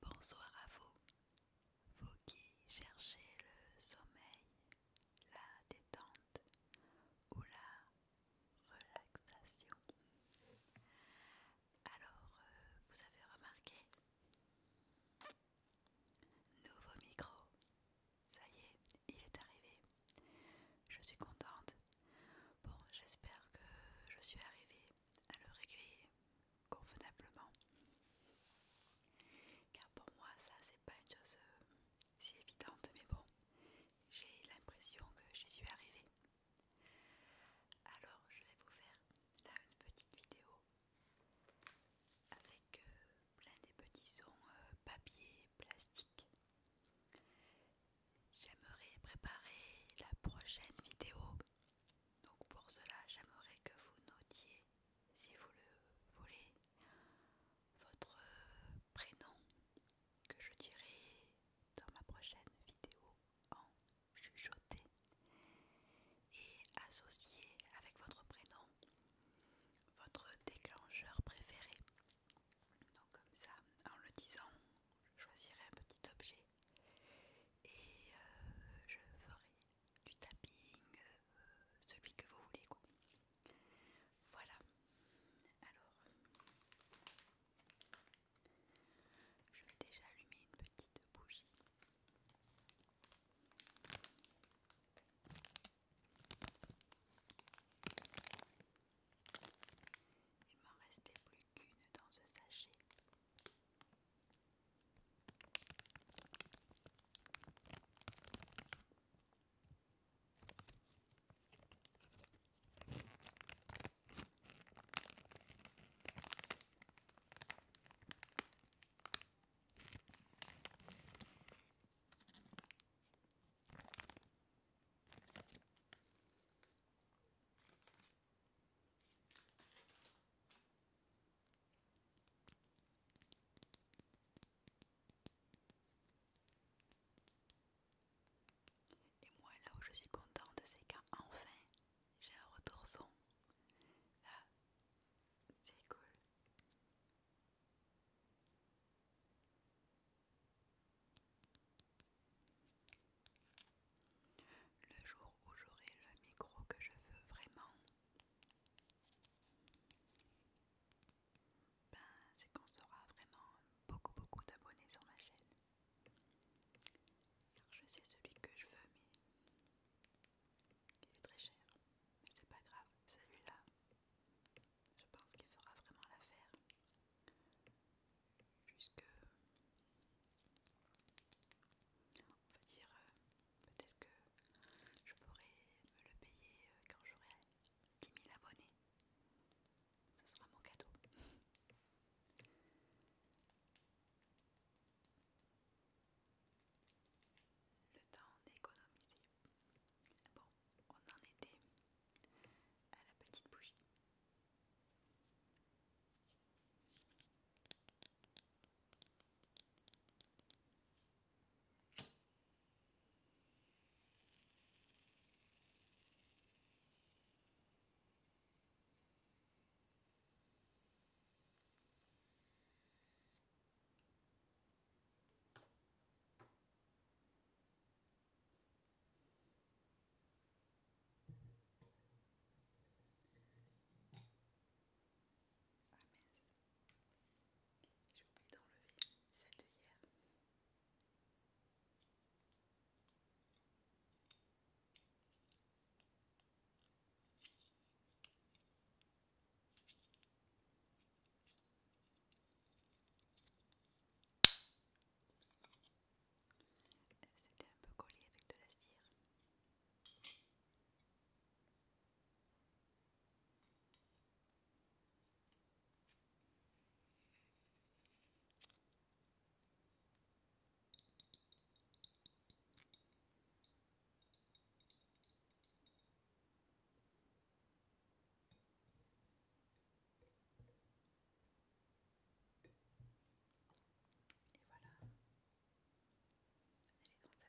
Bonjour, bonsoir à vous, vous qui cherchez le sommeil, la détente ou la relaxation. Alors, euh, vous avez remarqué Nouveau micro, ça y est, il est arrivé. Je suis contente. Bon, j'espère que je suis arrivée à le régler convenablement. Car pour moi, ça, c'est pas une chose euh, si évidente, mais bon, j'ai l'impression que j'y suis arrivée. Alors, je vais vous faire là une petite vidéo avec euh, plein des petits sons euh, papier plastique. J'aimerais préparer la prochaine vidéo. Donc pour cela, j'aimerais que vous notiez, si vous le voulez, votre prénom que je dirai dans ma prochaine vidéo en chuchoté et associé avec votre prénom votre déclencheur préféré donc comme ça, en le disant, je choisirai un petit objet et euh, je ferai du tapping, euh, celui que vous voulez. Voilà. Alors, je vais déjà allumer une petite bougie. Il m'en restait plus qu'une dans ce sachet. Et moi là où je suis contente c'est qu'enfin j'ai un retour son. c'est cool. Le jour où j'aurai le micro que je veux vraiment, ben, c'est qu'on sera vraiment beaucoup beaucoup d'abonnés sur ma chaîne. Car je sais celui que je veux, mais il est très cher. Mais c'est pas grave, celui-là, je pense qu'il fera vraiment l'affaire. Puisque, on va dire, euh, peut-être que je pourrai me le payer euh, quand j'aurai 10 000 abonnés. Ce sera mon cadeau. Le temps d'économiser. Bon, on en était à la petite bougie. Ah j'ai oublié d'enlever celle de hier. C'était un peu collé avec de la cire. Et voilà, elle est dans sa petite lanterne.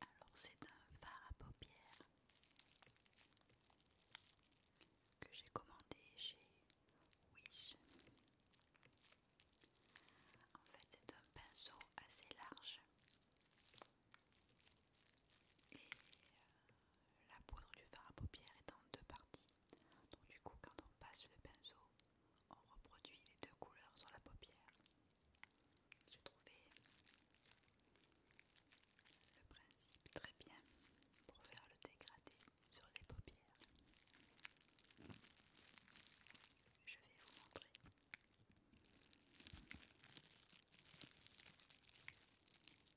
Alors c'est un fard à paupières que j'ai commandé chez Wish. En fait c'est un pinceau assez large et euh, la poudre du fard à paupières est en deux parties. Donc du coup, quand on passe le pinceau, on reproduit les deux couleurs sur la paupière. J'ai trouvé le principe très bien pour faire le dégradé sur les paupières. Je vais vous montrer.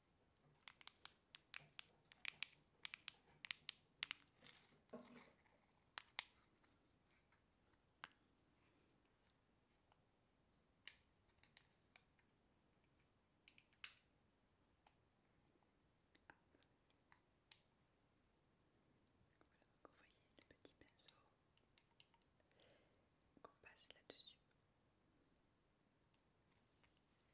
Voilà, vous voyez le petit pinceau qu'on passe là-dessus et après on reproduit.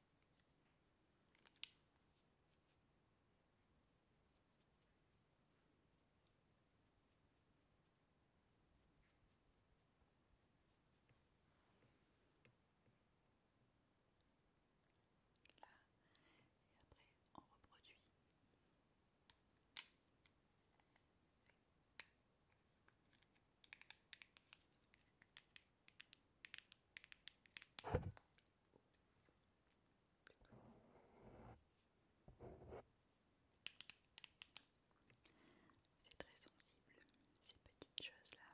C'est très sensible, ces petites choses-là.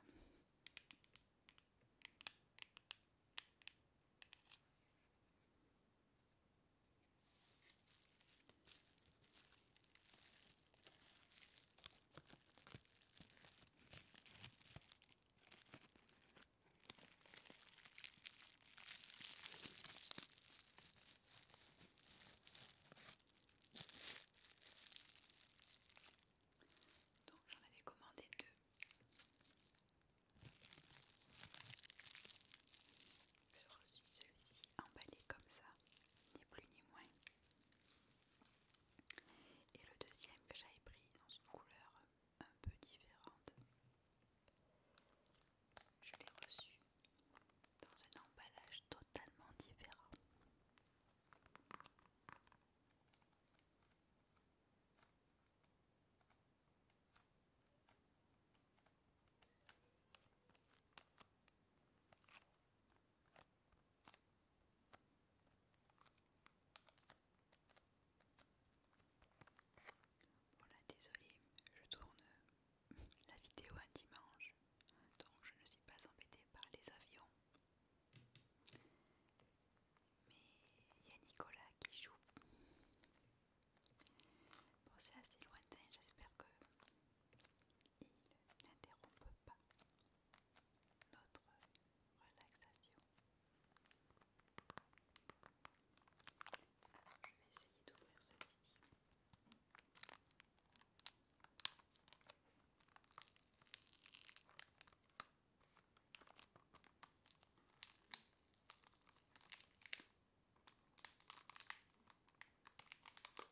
Donc j'en avais commandé deux. J'ai reçu celui-ci emballé comme ça, ni plus ni moins. Et le deuxième que j'avais pris dans une couleur un peu différente, je l'ai reçu dans un emballage totalement différent. Voilà, désolé, je tourne la vidéo un dimanche, donc je ne suis pas embêtée par les avions. Mais il y a Nicolas qui joue. Bon, c'est assez lointain, j'espère que il n'interrompt pas notre relaxation. je vais essayer d'ouvrir celui-ci.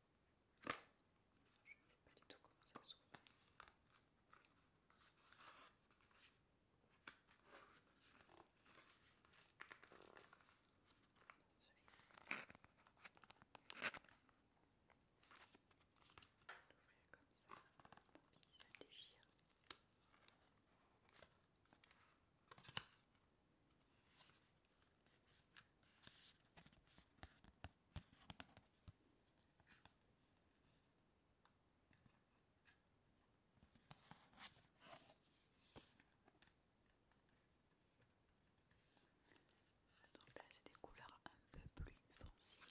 Je ne sais pas du tout comment ça s'ouvre. comme ça déchire. Donc là, c'est des couleurs un peu plus foncées.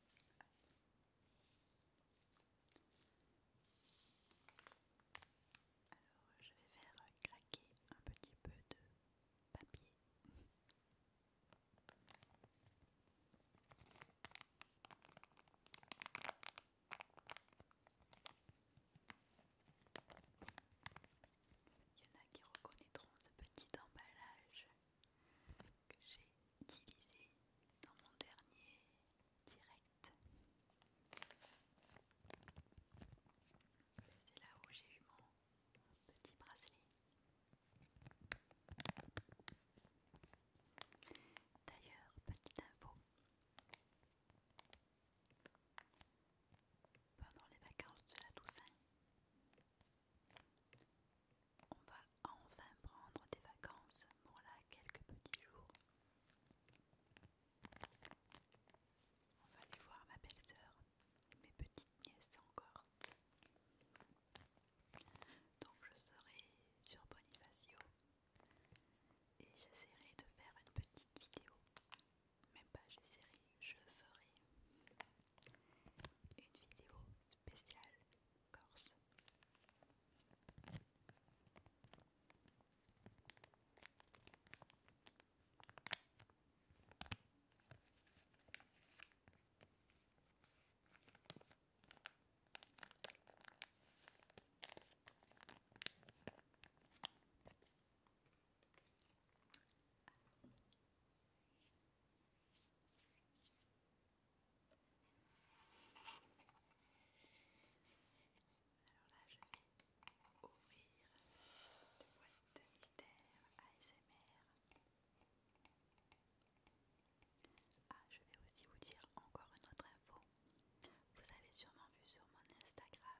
Alors, je vais faire craquer un petit peu de papier. Il y en a qui reconnaîtront ce petit emballage que j'ai utilisé dans mon dernier direct. C'est là où j'ai eu mon petit bracelet. D'ailleurs, petite info. Pendant les vacances de la Toussaint, on va enfin prendre des vacances pour là quelques petits jours. On va aller voir ma belle-sœur, mes petites nièces encore Donc je serai sur Bonifacio et j'essaierai de faire une petite vidéo. Même pas j'essaierai, je ferai une vidéo spéciale Corse. Alors là, je vais ouvrir la boîte mystère ASMR. Ah, je vais aussi vous dire encore une autre info. Vous avez sûrement vu sur mon Instagram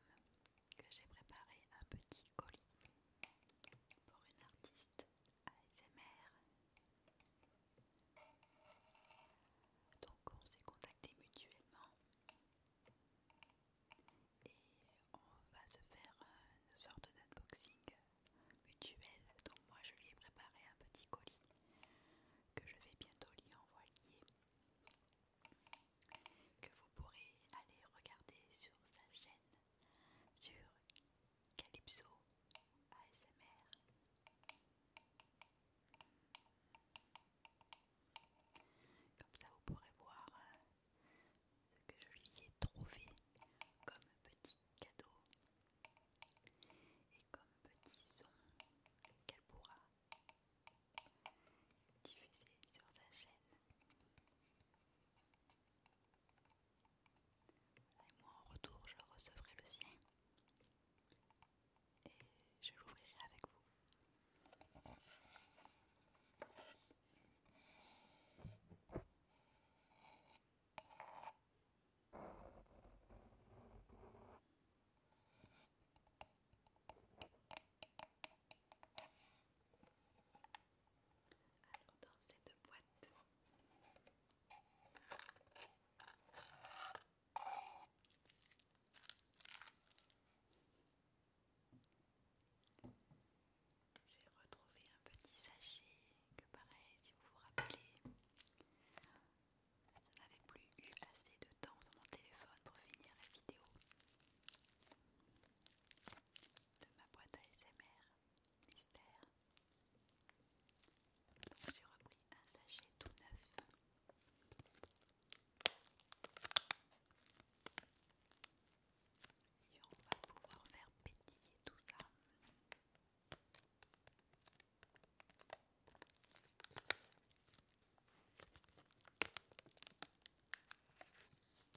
que j'ai préparé un petit colis pour une artiste. Donc on s'est contacté mutuellement et on va se faire euh, une sorte d'unboxing mutuel. Donc moi je lui ai préparé un petit colis que je vais bientôt lui envoyer que vous pourrez aller regarder sur sa chaîne sur Calypso ASMR. Comme ça, vous pourrez voir euh, ce que je lui ai trouvé comme petit cadeau et comme petit son qu'elle pourra diffuser sur sa chaîne. Et moi en retour, je recevrai le sien et je l'ouvrirai avec vous. Alors dans cette boîte, j'ai retrouvé un petit sachet que pareil, si vous vous rappelez, je n'avais plus eu assez de temps sur mon téléphone pour finir la vidéo de ma boîte ASMR j'ai repris un sachet tout neuf. Et on va pouvoir faire pétiller tout ça.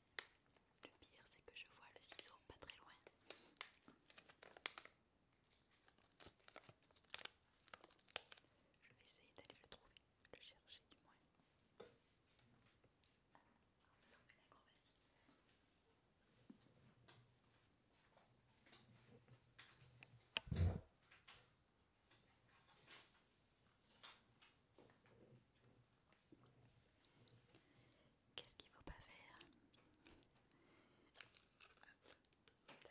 Le pire, c'est que je vois le ciseau pas très loin. Je vais essayer d'aller le trouver, le chercher du moins. Qu'est-ce qu'il faut pas faire Et on rigole pas, s'il vous plaît.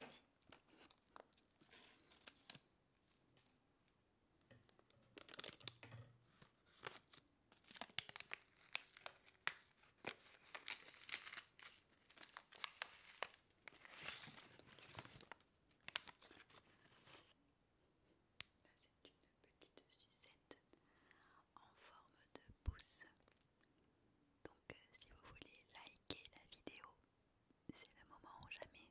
Merci c'est une petite sucette en forme de pouce. Donc, euh, si vous voulez liker la vidéo, c'est le moment ou jamais.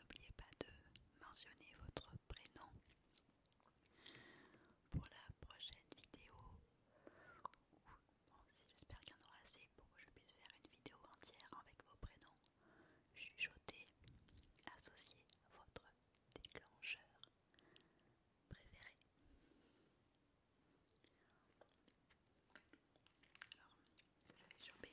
N'oubliez pas de mentionner votre prénom pour la prochaine vidéo. J'espère qu'il y en aura assez pour que je puisse faire une vidéo entière avec vos prénoms. associés à votre déclencheur préféré. Alors, vais choper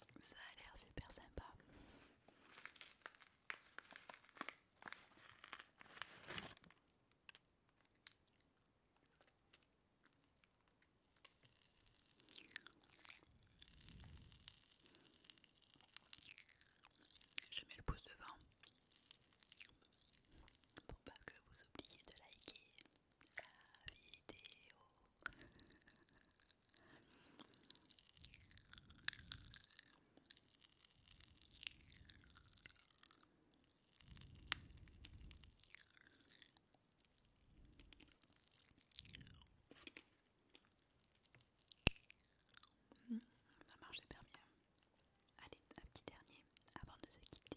Ça a l'air super sympa. Je mets le pouce devant pour pas que vous oubliez de liker. Hmm, ça marche super bien. Hein. Allez, un petit dernier avant de se quitter.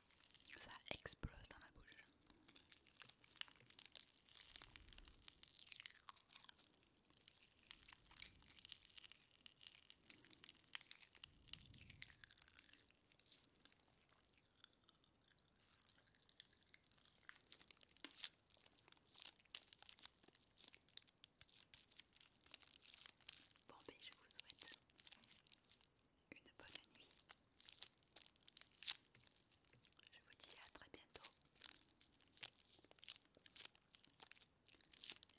Ça explose dans ma bouche. Bon ben je vous souhaite une bonne nuit. Je vous dis à très bientôt.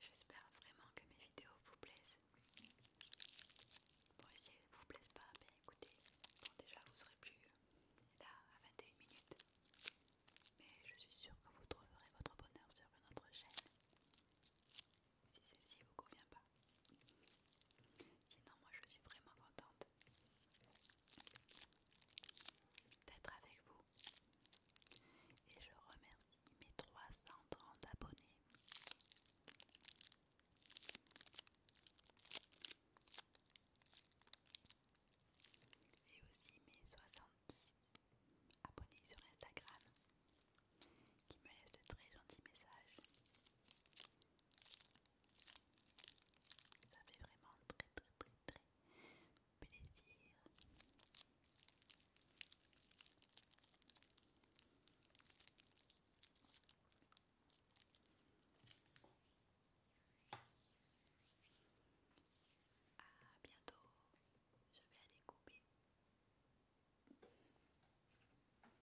J'espère vraiment que mes vidéos vous plaisent. Bon, si elles ne vous plaisent pas, bien écoutez, bon déjà vous serez plus là à 21 minutes. Mais je suis sûre que vous trouverez votre bonheur sur une autre chaîne. Si celle-ci vous convient pas. Sinon, moi je suis vraiment contente d'être avec vous. Et je remercie mes 330 abonnés. Et aussi mes 70 abonnés sur Instagram qui me laissent de très gentils messages. Ça fait vraiment très très très très plaisir. À bientôt, je vais aller couper.